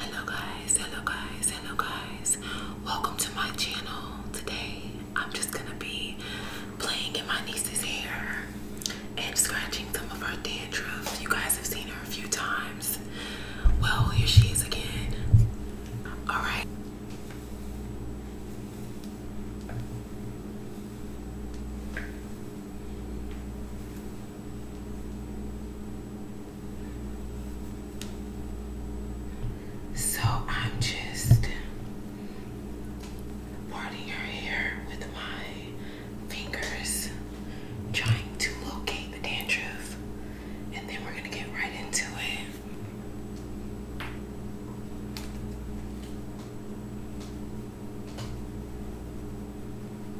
Hello guys, hello guys, hello guys. Welcome to my channel. Today I'm just gonna be playing in my niece's hair and scratching some of her dandruff. You guys have seen her a few times. Well, here she is again. Alright. So I'm just parting her hair with my fingers, trying to locate the dandruff, and then we're gonna get right into it.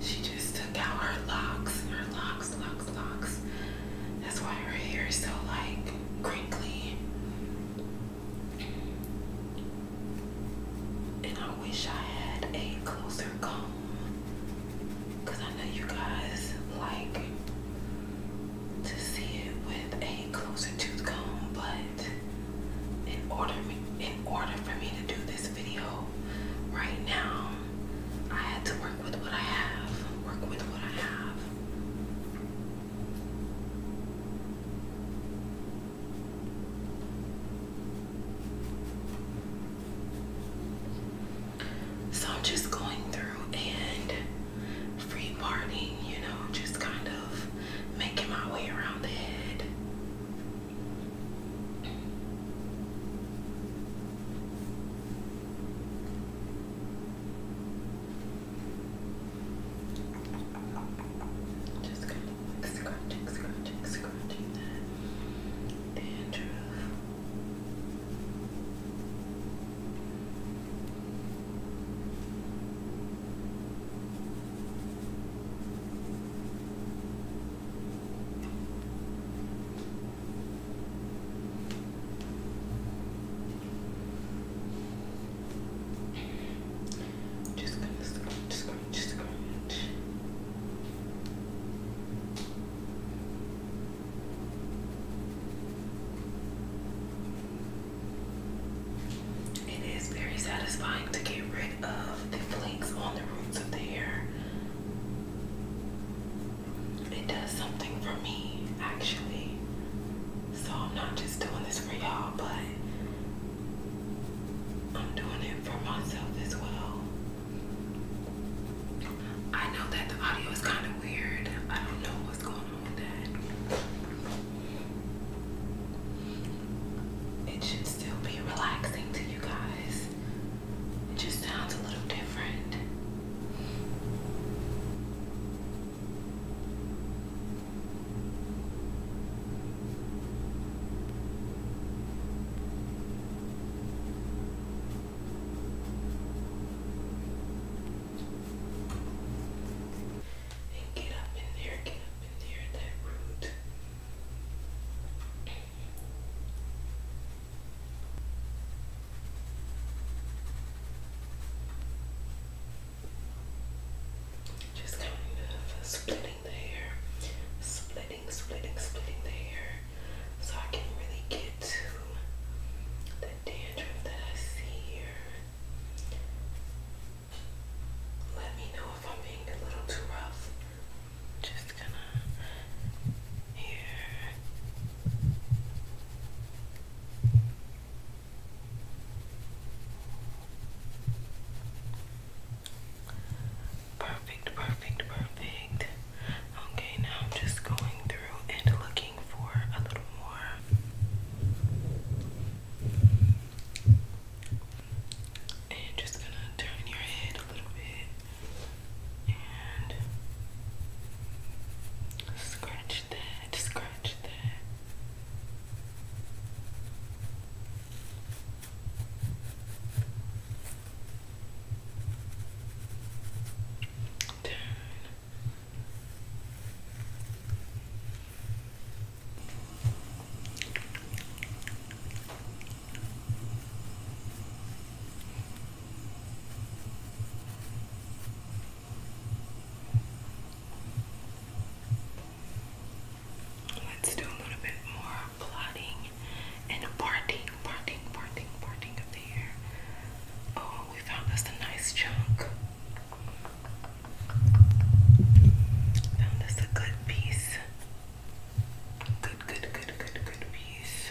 She just took out her locks, her locks, locks, locks. That's why her hair is so like crinkly. And I wish I had a closer comb. I know you guys like to see it with a closer tooth comb. But in order, in order for me to do this video right now, I had to work with what I have. Work with what I have. So I'm just going through and free parting, you know, just kind of making my way around the just kind of scratching, scratching, scratching that dandruff. Okay. Just gonna scrunch, scrunch, scrunch. It is very satisfying to get rid of the flakes on the roots of the hair. It does something for me, actually. So I'm not just doing this for y'all, but I'm doing it for myself as well. I know that the audio is kind of weird. I don't know what's going on with that. It should still be relaxing to you guys. It just sounds a little different. And get up in there, get up in there, that root. Just kind of splitting the hair, splitting, splitting, splitting the hair, so I can really get to the dandruff that I see here. Let me know if I'm being a little too rough. Just gonna here. Perfect, perfect, perfect. Okay, now I'm just going through and looking for a little more. And just gonna turn your head a little bit and scratch scratch that, scratch that. Let's do a little bit more plotting and parting, parting, parting, parting of the hair. Oh, we found us a nice chunk. Found us a good piece. Good, good, good, good, good piece.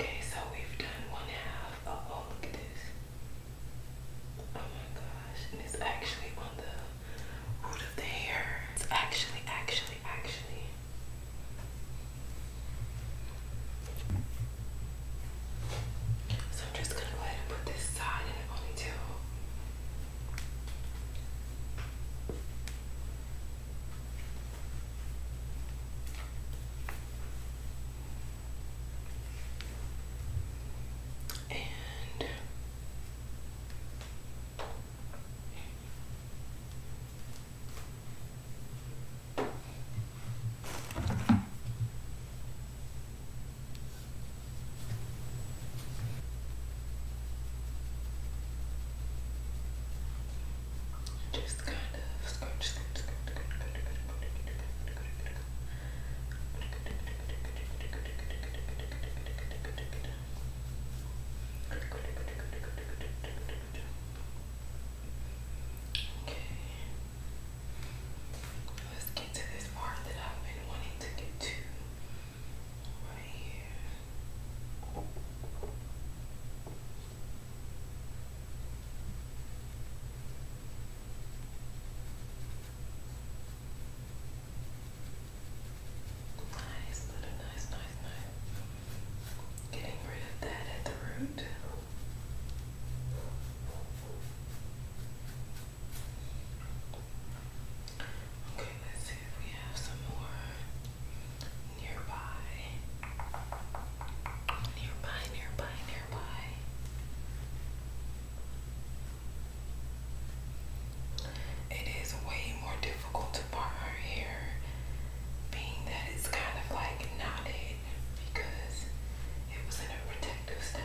Okay, so we've done one half. Oh, oh look at this. Oh my gosh, and it's actually on the root of the hair. It's actually, actually, actually. So I'm just gonna go ahead and put this side in a ponytail. And just kind of scratch, scratch, scratch, scratch, scratch, scratch, scratch, scratch, Let's get to this part that I've been wanting to get to right here. Okay. Nice, little nice, nice, nice. Getting rid of that at the root. Okay, let's see if we have some more nearby. Nearby, nearby, nearby. It is way more difficult to part her hair, being that it's kind of like knotted because it was in a protective style.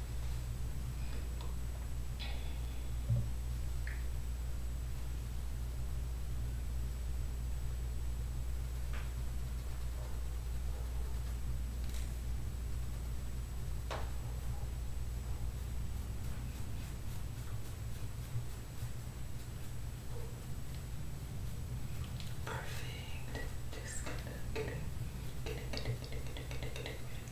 Perfect. Just gonna get it, get it, get it, get it, get it, get it, get it,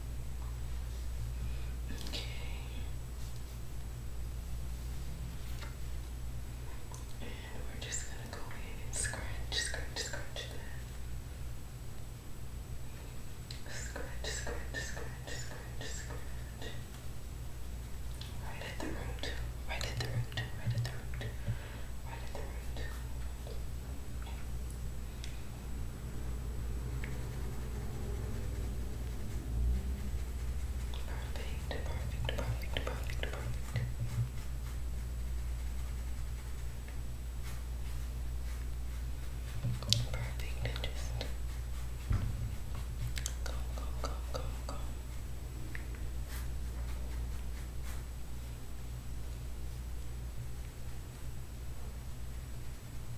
Okay. And we're just going to go in and scratch, scratch, scratch that. Scratch, scratch, scratch, scratch, scratch. right at the root, right at the root, right at the root. Right at the root. Perfect, perfect, perfect, perfect, perfect. Perfect, and just go, go, go, go, go. Perfect.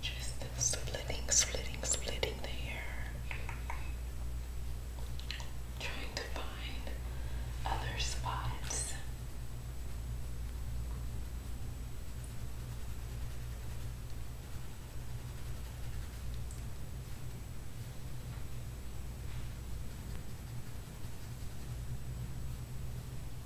just splitting, splitting, splitting the hair. Trying to find other spots.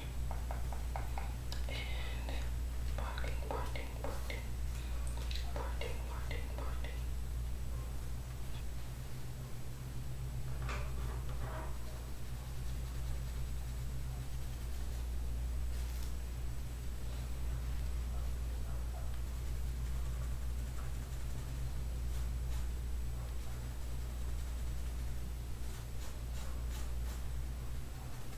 and parting, parting, parting, parting, parting, parting. Parting,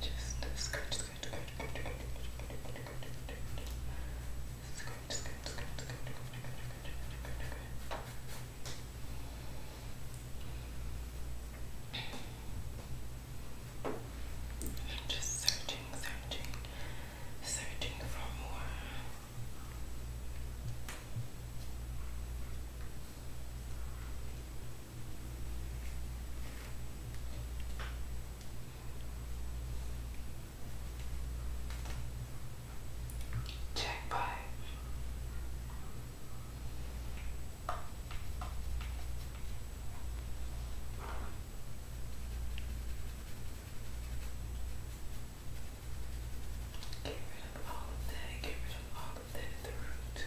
Just scratch, scratch, scratch, scratch, scratch, scratch, scratch, scratch, scratch, just searching, searching, searching for more. Check by. Get rid of all of that get rid of all of that the root.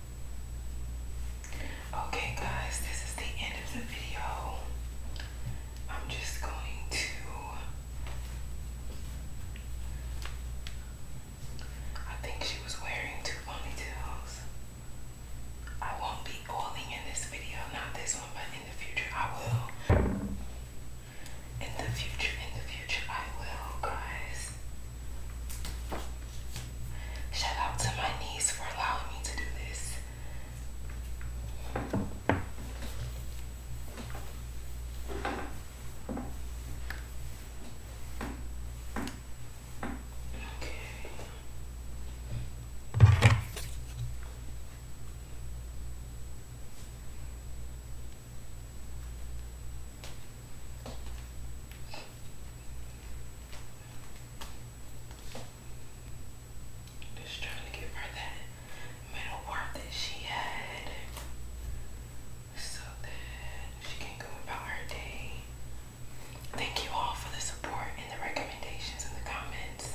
Okay, guys, this is the end of the video. I'm just going to. I think she was wearing two ponytails. I won't be calling in this video, not this one, but in the future I will. In the future, in the future I will, guys. Shout out to my niece for allowing me to do this. Okay. Just trying to give her that mental work that she had so that she can go about her day. Thank you all for the support and the recommendations in the comments.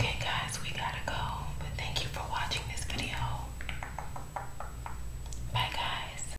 Okay guys, we gotta go, but thank you for watching this video. Bye guys.